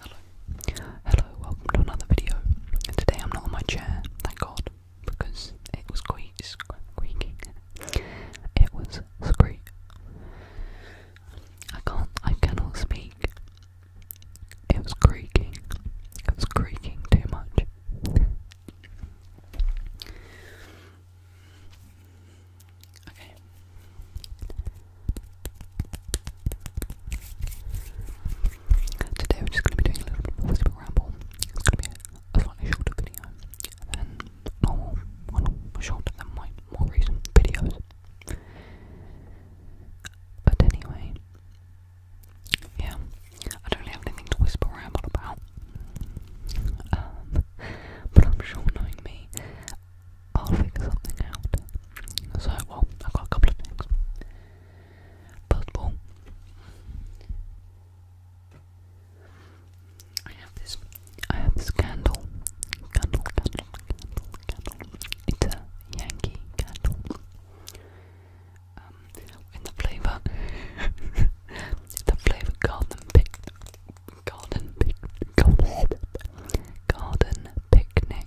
Hello, hello, welcome to another video. today I'm not on my chair, thank God, because it was squeak, It was squeak. I can't, I cannot speak. It was creaking. It was creaking too much. Okay. Today we're just going to be doing a little bit more whisper ramble. It's going to be a, slightly shorter video than normal, well, shorter than my more recent videos. But anyway, yeah, I don't have anything to whisper ramble about. Um, but I'm sure knowing me, I'll figure something out. So, well, I've got a couple of things. First of all, I have this. I have this candle, candle, candle, candle, candle. It's a Yankee candle. Um, in the flavour, the flavour garden pic, garden pic, garden, garden picnic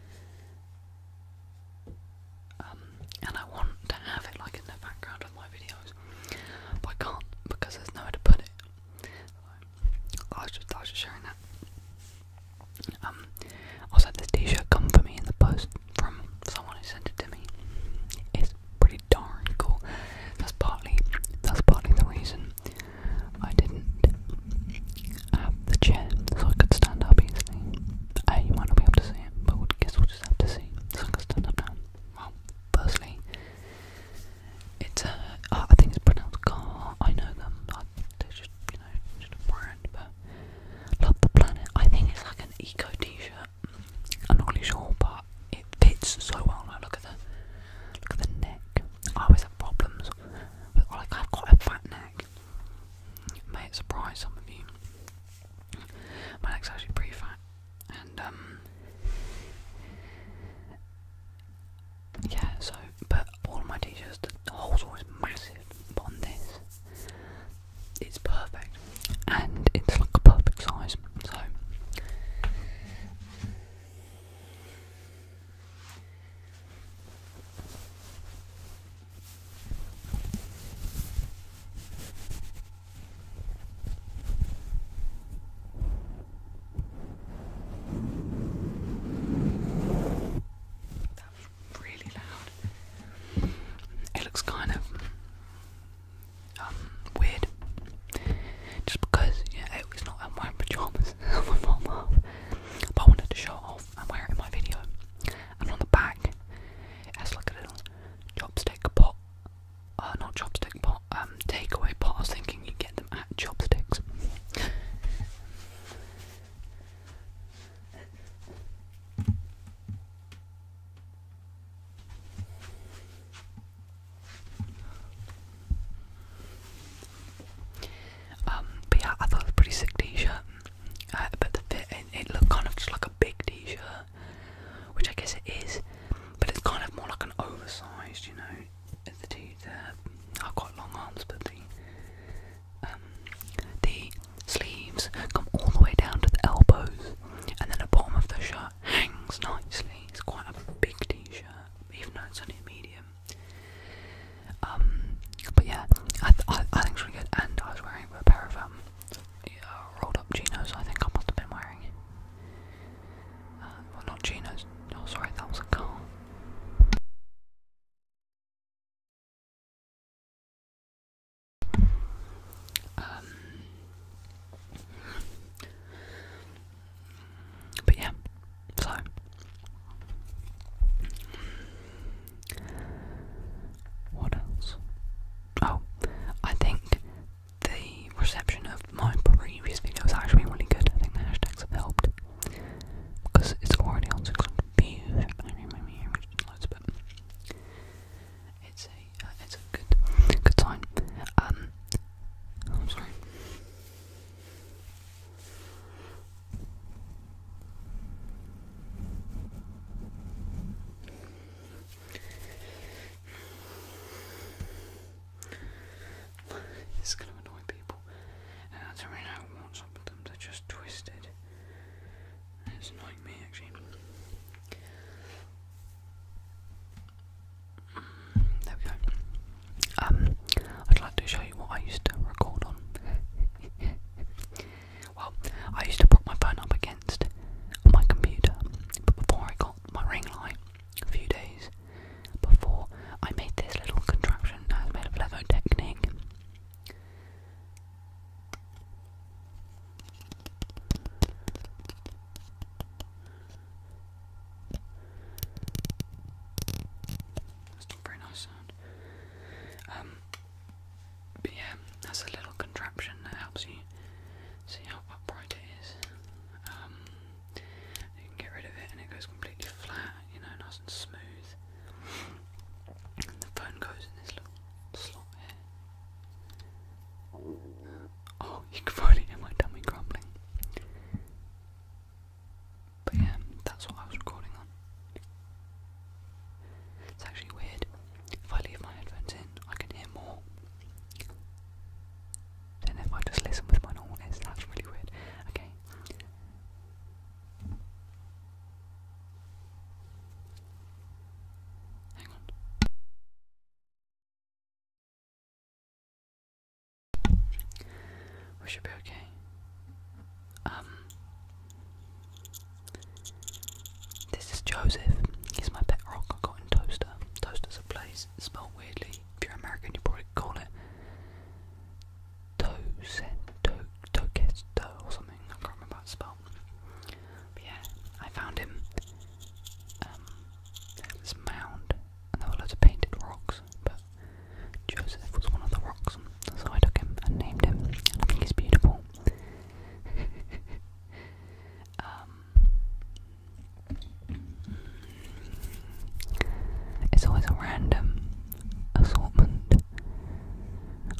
Um, and I want to have it like in the background of my videos, but I can't because there's nowhere to put it. I was just I was just sharing that. Um, also had this T-shirt come for me in the post from someone who sent it to me. It's pretty darn cool. That's partly that's partly the reason I didn't have the chair so I could stand up easily. Uh, you might not be able to see it, but I guess we'll just have to see. So I can stand up now. firstly, it's a. Uh, I think it's pronounced car. I know them. I, just, you know, just a brand, but. Love the planet. I think it's like an eco t shirt. I'm not really sure, but it fits so well. look at the. Look at the neck. I always have problems with I've got a fat neck. May surprise some of you. My neck's actually pretty fat, and um, yeah. So, but all my teachers' shirts the hole's always massive. on this, it's perfect, and it's like a perfect size. So. It looks kind of um, weird. Just because, you know, it's not in my pajamas, I wanted to show off and wear it in my video. And on the back, it has like a little chopstick pot, uh, not chopstick pot, um, takeaway pot. I was thinking you get them at chopsticks. Um, but yeah, I thought it was a pretty sick t-shirt. Uh, but the fit, it, looked kind of just like a big t-shirt, which I guess it is. But it's kind of more like an oversized, you know. The t the I've got long arms, but um, the sleeves come all the way down to the elbows, and then the bottom of the shirt hangs nicely. It's quite a big t-shirt, even though it's only a medium. Um, but yeah, I, I, think it's really good. And I was wearing a pair of um, rolled up chinos. I think I must have been wearing. Uh, well, not chinos. Oh, sorry, that was a car. Um, but yeah, so what else? Oh, I think the reception of my previous video was actually really good. I think the hashtags have helped because it's already on 600 views. it's a uh, it's a good good sign. Um, I'm sorry. It's going to annoy people, I don't know what's up with them. They're It's annoying me actually. Mm, there we go. Um, I'd like to show you what I used to record on. well, I used to put my phone up against my computer, but before I got my ring light, a few days before, I made this little contraption that made of Lego Technique. That's not very nice. Uh. Um, but yeah, that's a little contraption that helps you see how upright it is. Um, you can get rid of it and it goes completely flat, you know, nice and smooth. And the phone goes in this little slot here. Oh, you can probably hear my tummy grumbling. But yeah, that's what I was recording on. It's actually weird. If I leave my headphones in, I can hear more than if I just listen with my normal That's really weird. Okay. Hang on. We should be okay. Um, this is Joseph. He's my pet rock I got in Toaster. Toaster's a place spelled weirdly. If you're American, you probably call it Toaster, Toaster, or something. I can't remember how it's yeah, I found him. Um, a mound, and there were lots of painted rocks, but Joseph was one of the rocks, so I took him and named him, I think he's beautiful. Um, it's always a random assortment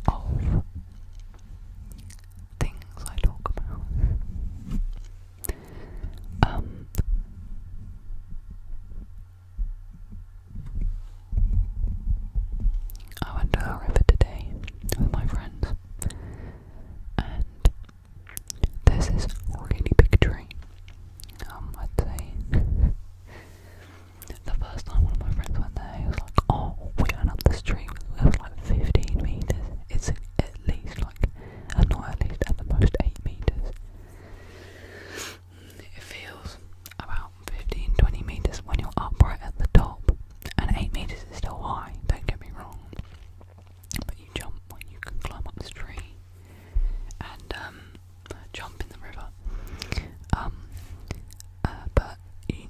of things I talk about. Um, I went to the river today with my friends, and there's this really big tree. Um, I'd say the first time one of my friends went there, he was like, "Oh, we went up this tree. It was like 15 meters. It's at least like, and not at least at the most 8 meters." It feels about 15 20 meters when you're upright at the top, and 8 meters is still high, don't get me wrong. But you jump when you can climb up this tree and um, jump in the river. Um, uh, but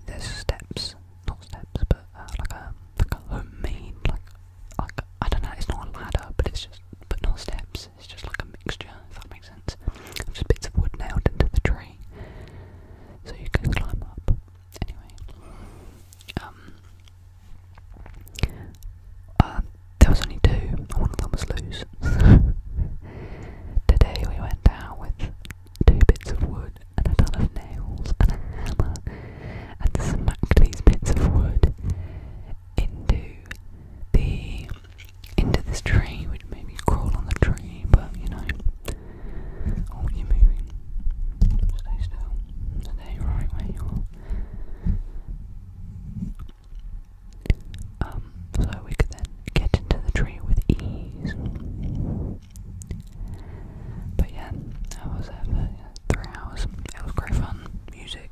there's steps, not steps, but uh, like a like a homemade like like I don't know. It's not a ladder, but it's just but no steps it's, just like a mixture, if that makes sense. Just bits of wood nailed into the tree, so you can climb up. Anyway, um, uh, there was only two, one of them was loose. Today we went down with two bits of wood and a ton of nails and a hammer and smacked these bits of wood into the into this tree, we'd maybe crawl on the tree, but you know. Oh, you're Stay still. Stay right where you are. Um, so we could then get into the tree with ease. But yeah, I was there three hours. It was great fun. Music,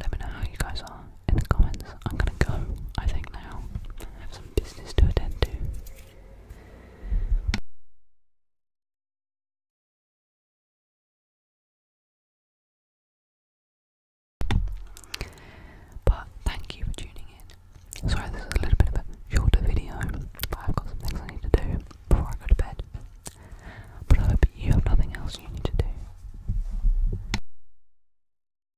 Let me know how you guys are in the comments. I'm gonna go, I think, now. I have some business to attend to. But thank you for tuning in. Sorry, this is a little bit of a shorter video, but I've got some things I need to do before I go to bed. But I hope you have nothing else you need to do.